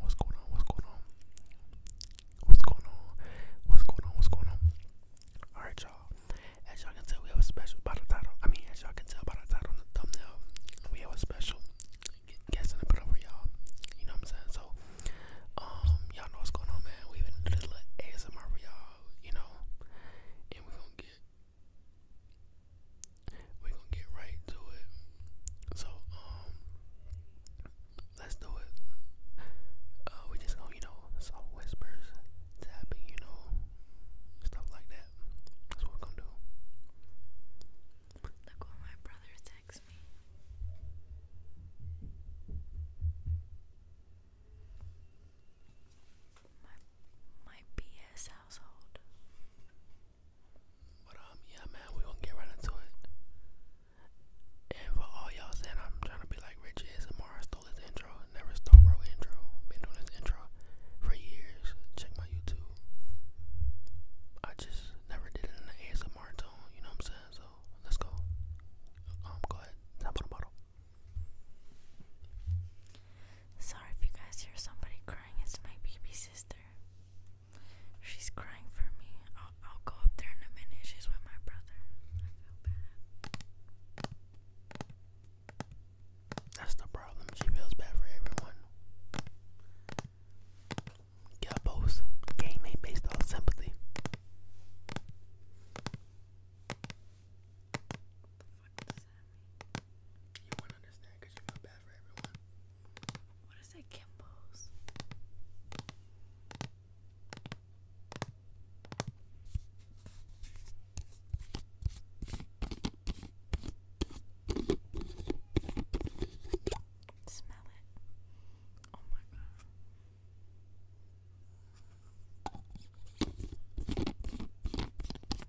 What's going on? What's going on? What's going on? What's going on? What's going on? All right, y'all. As y'all can tell, we have a special by the title. I mean, as y'all can tell by the title and the thumbnail, we have a special Guessing a the put over y'all. You know what I'm saying? So, um, y'all know what's going on, man. We even did a little ASMR for y'all, you know, and we're going get we gonna get right to it. So, um, let's do it. Uh, we just gonna, oh, you know, soft whispers, tapping, you know, stuff like that. That's what we're gonna do. Look what my brother texts me. my BS household. But um, yeah, man, we gonna get right into it. And for all y'all saying I'm trying to be like Rich ASMR, I stole his intro. Never stole bro intro. Been doing this intro for years. Check my YouTube. I just never did it in an ASMR tone. You know what I'm saying? So let's go. Um, go ahead. Tap on the bottle. Sorry if you guys hear somebody crying. It's my baby sister. She's crying for me. I'll, go up there in a minute. She's with my brother. I feel bad. That's the problem. She feels bad for everyone. Yeah, both. Game ain't based on sympathy. What that You wouldn't understand you feel bad for everyone. What is that Kimbo's? Smell it. Oh my god.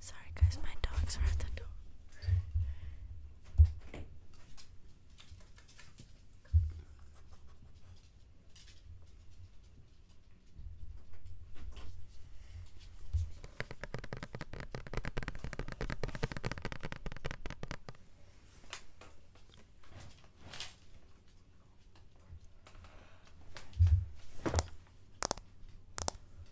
Sorry, guys, my dogs are at the door.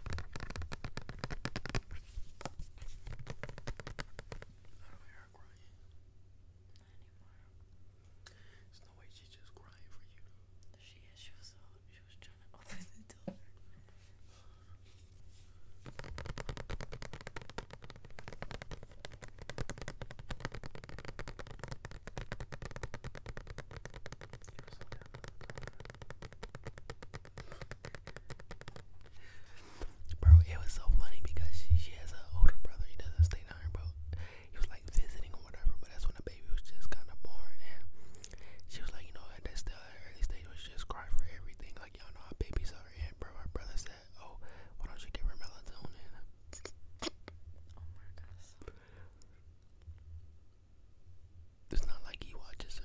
do no way she's just crying for you. She is. She was. she was trying to open the door. Bro, it was so funny because she, has an older brother. He doesn't stay down here, bro. He was like visiting or whatever, but that's when the baby was just kind of born. And she was like, you know, at that still uh, early stage, was just cry for everything. Like, y'all know how babies are. And, bro, her brother said, oh, why don't you give her melatonin? Oh it's not like he watches her.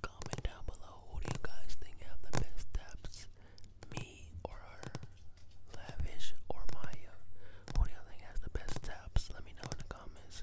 Comment down below who do you guys think have the best steps? Me or Lavish or Maya? Who do you think has the best taps? Let me know in the comments.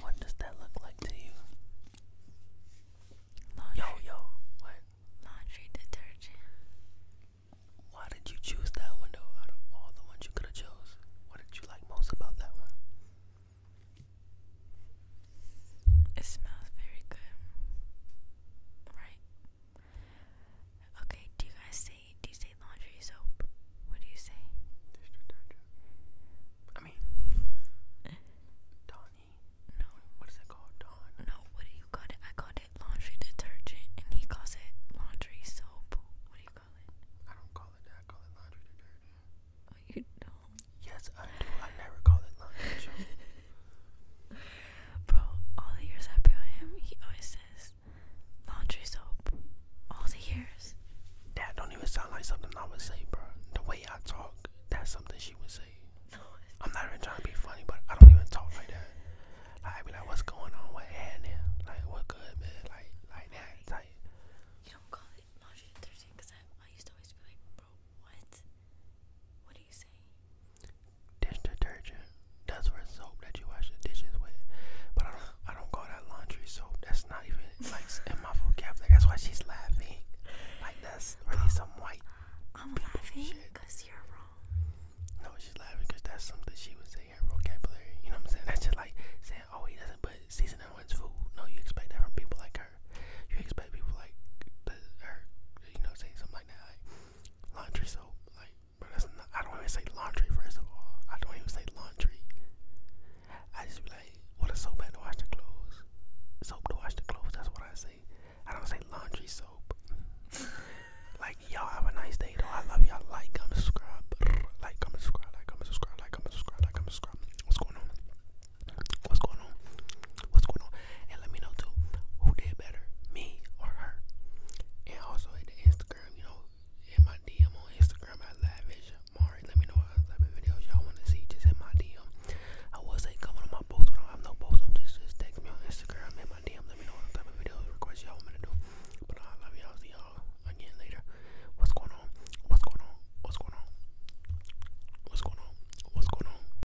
What does that look like to you? Yo, yo, what? Laundry detergent. Why did you choose that one Out of all the ones you could have chosen? what did you like most about that one? It smells very good, right? Okay, do you guys say do you say laundry soap? What do you say? Dish detergent. I mean eh. Donnie. No. What is it called? Don. No, what do you call it? I called it laundry detergent and he calls it laundry soap. What do you call it? I don't call it that, I call it laundry detergent. Oh, you don't? Yes I do. I never call it laundry Bro, all the years I've been with him, he always says laundry soap. All the years. That don't even sound like something I would say, bro. The way I talk, that's something she would say. I'm not even trying to be funny, but I don't even talk like that. I'd be like, what's going on? What happening? Like, what good, man? Like, like that type. don't call it laundry detergent because I, I used to always be like, what? What do Dish detergent. That's for soap that you wash the dishes with. But I don't I don't call that laundry soap. That's not even like in my vocabulary. That's why she's laughing. Like that's really uh, some white. I'm laughing because you're wrong. No, she's laughing because that's something she would in her vocabulary. You know what I'm saying? That's just like saying, oh, he doesn't put seasoning on his food. No, you expect that from people like her. You expect people like her, you know, saying something like that laundry soap. Like, I don't even say laundry, first of all. I don't even say laundry. I just be like, what a soap had to wash the clothes. Soap to wash the clothes, that's what I say. I don't say laundry soap. like, y'all have a nice day, though. I love y'all. Like, comment, subscribe. Like, comment, subscribe. Like, comment, subscribe. Like, comment, subscribe. Like, comment, subscribe. What's going on? What's going on? what's going on, and let me know too who did better, me or her. And also at the Instagram, you know, in my DM on Instagram at Lavish Let me know what type of videos y'all want to see. Just in my DM. I would say comment on my post. When I have no post up, just just text me on Instagram in my DM. Let me know what type of videos requests y'all want me to do. But I love y'all. See y'all again later. What's going on? What's going on? What's going on? What's going on? What's going on?